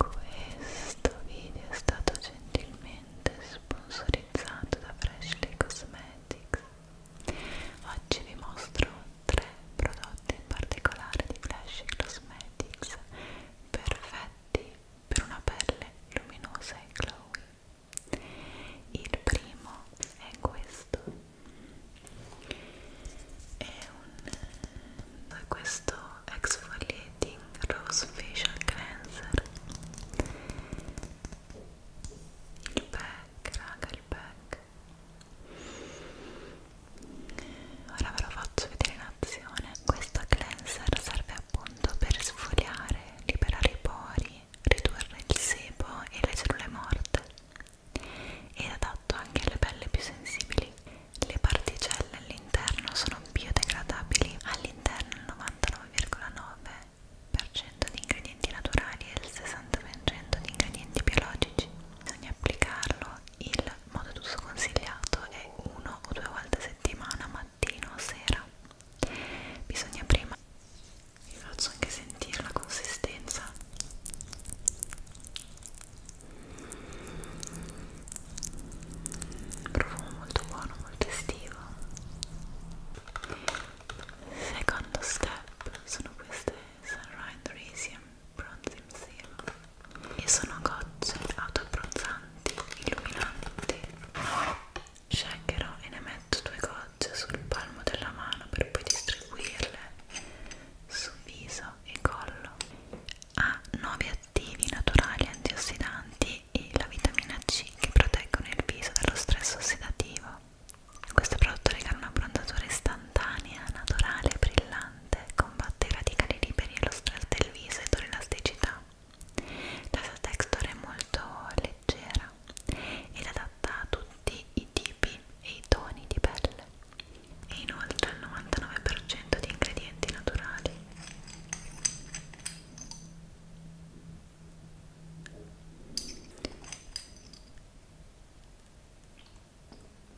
Questo video è stato gentilmente sponsorizzato da Freshly Cosmetics. Oggi vi mostro tre prodotti in particolare di Freshly Cosmetics perfetti per una pelle luminosa e glowy. Il primo è questo è un questo exfoliating rose facial cleanser il pack raga il pack ora ve lo faccio vedere in azione questo cleanser serve appunto per sfogliare liberare i pori ridurre il sebo e le cellule morte ed adatto anche alle pelle più sensibili. Le particelle all'interno sono biodegradabili, all'interno il 99,9% di ingredienti naturali e il 60% di ingredienti biologici. Bisogna applicarlo il modo d'uso consigliato è uno o due volte a settimana, mattino o sera. Bisogna prima vi faccio anche sentire la consistenza profumo molto buono, molto estivo secondo step sono queste Sunrise Radium Bronzing Serum e sono gocce autoabbronzanti, illuminanti sceglierò e ne metto due gocce sul palmo della mano per poi distribuirle sul viso naso e collo. Ha 9 attivi naturali antiossidanti e la vitamina C che proteggono il viso dallo stress ossidativo. Questo prodotto regala una prontatura istantanea, naturale e brillante, combatte i radicali liberi e lo stress del viso e l'elasticità. La sua texture è molto leggera ed adatta a tutti i tipi e i toni di pelle e inoltre il 99% di ingredienti naturali.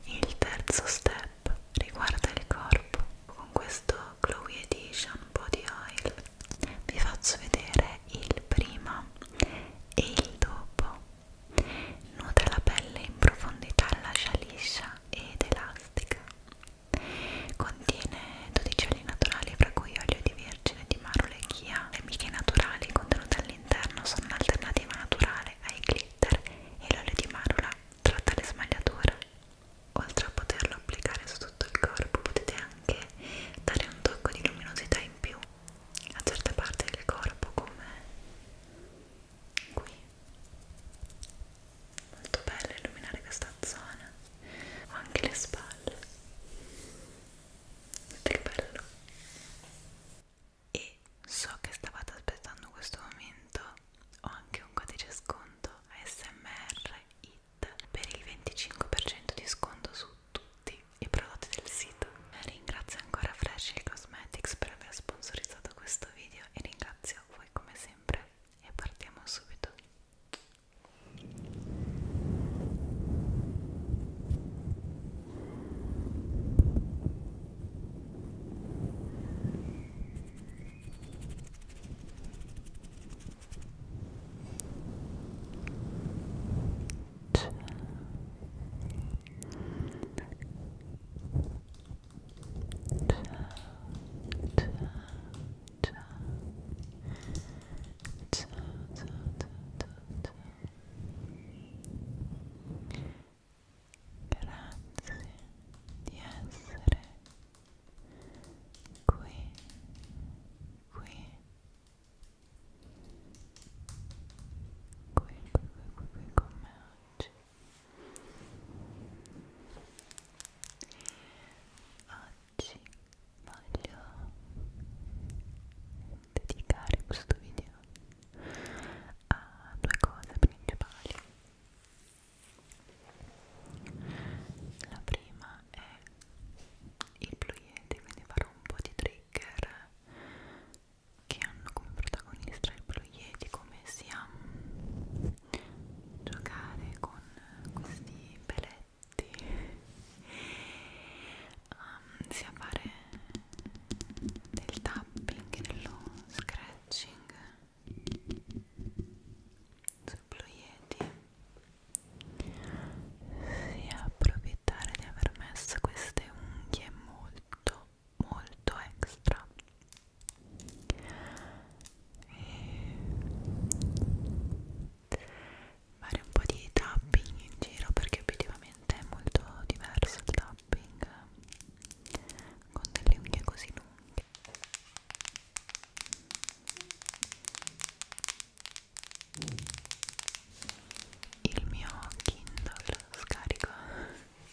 Il terzo step riguarda il corpo. Con questo Chloe Edition Body Oil vi faccio vedere il prima e il dopo Nutre la pelle in profondità, lascia liscia ed elastica. Contiene 12 oli naturali, fra cui olio di vergine di marule e chia. Le miche naturali contenute all'interno sono un'alternativa naturale ai glitter e l'olio di marula tratta le smagliature. Oltre a poterlo applicare su tutto il corpo, potete anche dare un tocco di luminosità in più a certe parti del corpo, come qui molto bello illuminare questa zona o anche le spalle che bello e so che stavate aspettando questo momento ho anche un codice sconto ASMR IT per il 25% di sconto su tutti i prodotti del sito ringrazio ancora Fresh Cosmetics per aver sponsorizzato questo questo video e ringrazio voi come sempre e partiamo subito Ciao. Grazie di essere qui, qui, qui, qui, qui, qui, qui con me oggi. Oggi voglio dedicare questo video a due cose principali. La prima è il fluiente, quindi farò un po' di trigger che hanno come protagonista il ploieti come sia giocare con questi peletti um, sia fare del tapping e dello scratching sul ploieti sia approfittare di aver messo queste unghie molto molto extra e fare un po' di tapping in giro perché obiettivamente è molto diverso il tapping con delle unghie così lunghe il mio Kindle scarico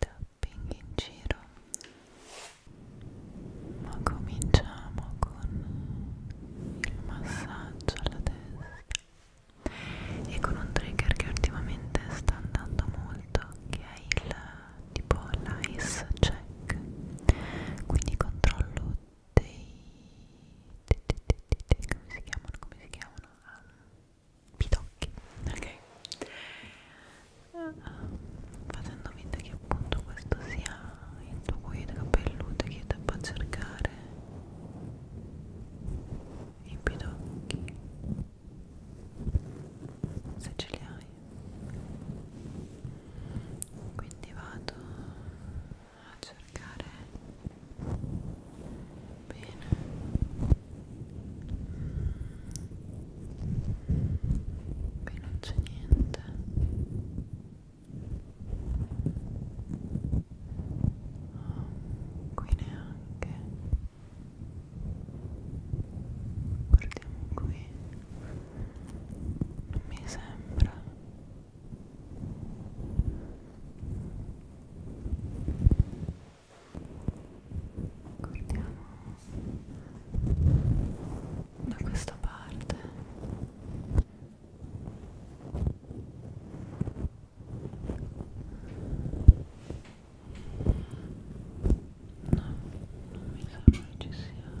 tapping in giro ma cominciamo con il massaggio alla testa e con un trigger che ultimamente sta andando molto che è il tipo l'ice check quindi controllo dei, dei, dei, dei, dei come si chiamano come si chiamano um, pidocchi ok facendo finta che appunto questo sia il tuo cuoio capelluto che ti va a cercare i pidocchi se ce li hai quindi vado a cercare Bene. Qui non c'è niente. Oh, qui neanche. Guardiamo qui. Non mi sembra guardiamo da questa parte no, non mi sembra ci sia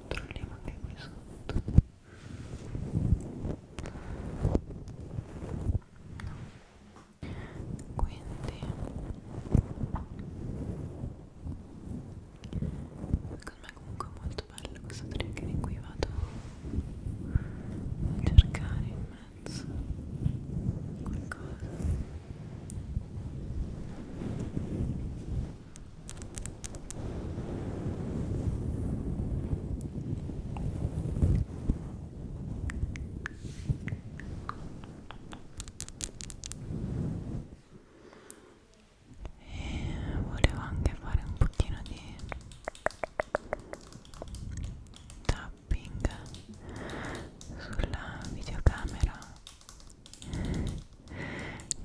controlliamo anche qui sotto quindi secondo me comunque è molto bello questo trigger in cui vado a cercare in mezzo qualcosa e volevo anche fare un pochino di tapping sulla videocamera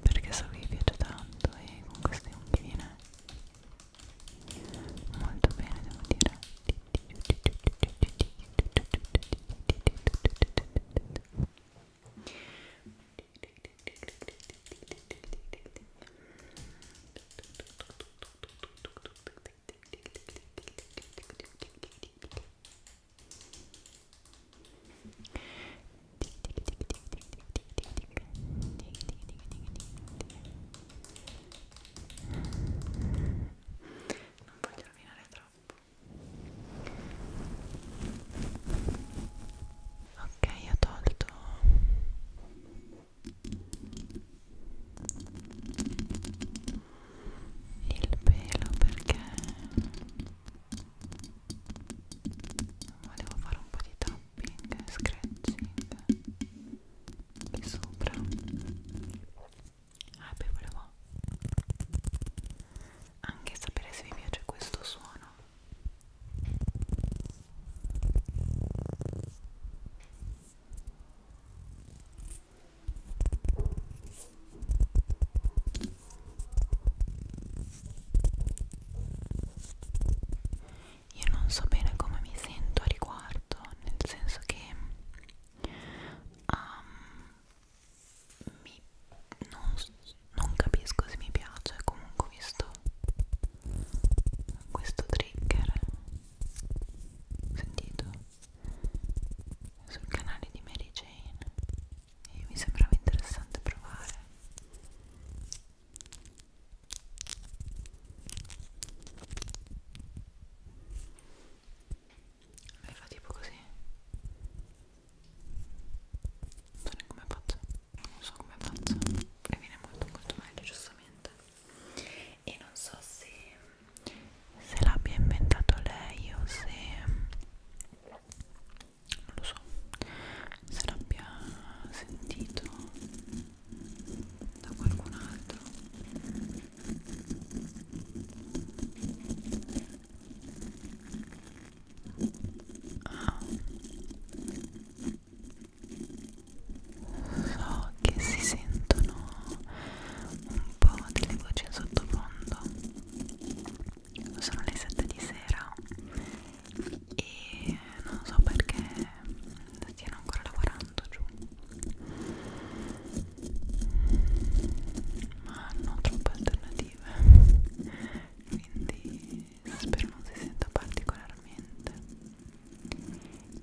perché so che vi piace tanto e con queste unghie viene molto bene devo dire ok non voglio rovinare troppo. Ok, ho tolto il pelo perché volevo fare un po' di tapping e scratching qui sopra ah, e poi volevo anche sapere se vi piace questo suono io non so bene come mi sento a riguardo, nel senso che um, mi, non, non capisco se mi piace, comunque ho visto questo trigger, sentito sul canale di Mary Jane e mi sembrava interessante provare lei fa tipo così non so come faccio non so come faccio e viene molto molto meglio giustamente e non so se se l'abbia inventato lei o se non lo so se l'abbia sentito da qualcun altro ah. so che si sentono un po' delle voci in sottofondo sono le 7 di sera e non so perché stiano ancora lavorando giù ma hanno troppe alternative quindi spero non si senta particolarmente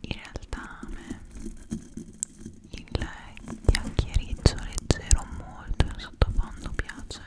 in realtà a me il chiacchiericcio leggero molto in sottofondo piace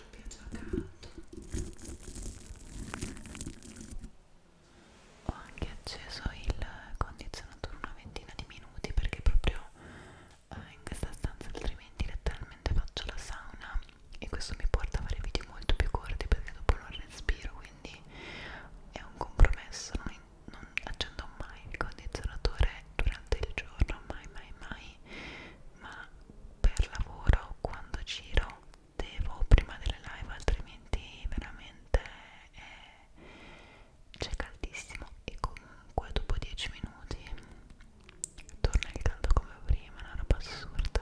ti piace la canto ho anche acceso il condizionatore una ventina di minuti perché proprio eh, in questa stanza altrimenti letteralmente faccio la sauna e questo mi porta a fare video molto più corti perché dopo non respiro quindi è un compromesso non, non accendo mai il condizionatore durante il giorno mai mai mai ma per lavoro quando giro devo prima delle live altrimenti veramente eh, c'è caldissimo e comunque dopo 10 minuti torna il caldo come prima una roba assurda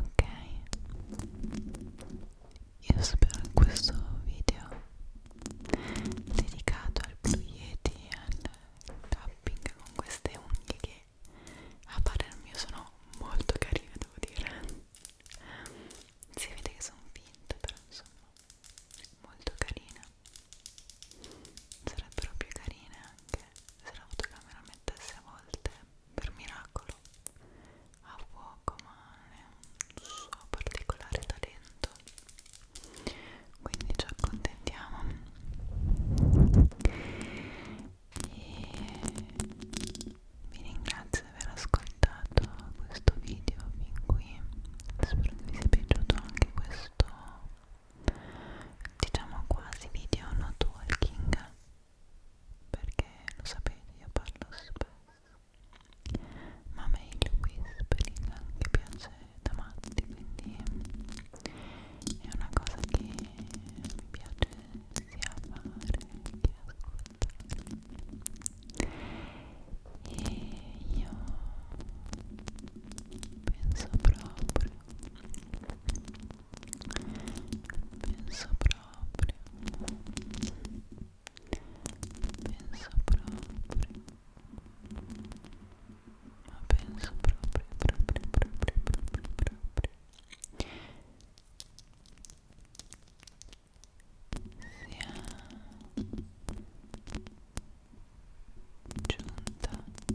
ok io spero in questo video dedicato al Blue Yeti al tapping con queste unghie che a parer mio sono molto carine devo dire si vede che sono finte però insomma molto carina sarebbero più carine anche se la fotocamera mettesse a volte per miracolo a fuoco ma è un suo particolare talento quindi ci accontentiamo e vi ringrazio di aver ascoltato questo video fin qui spero che vi sia piaciuto anche questo diciamo quasi video no talking perché lo sapete io parlo spesso ma mail whispering anche piace da matti quindi è una cosa che mi piace sia fare che ascoltare e io penso proprio penso proprio penso proprio ma penso proprio proprio proprio proprio proprio sia giunta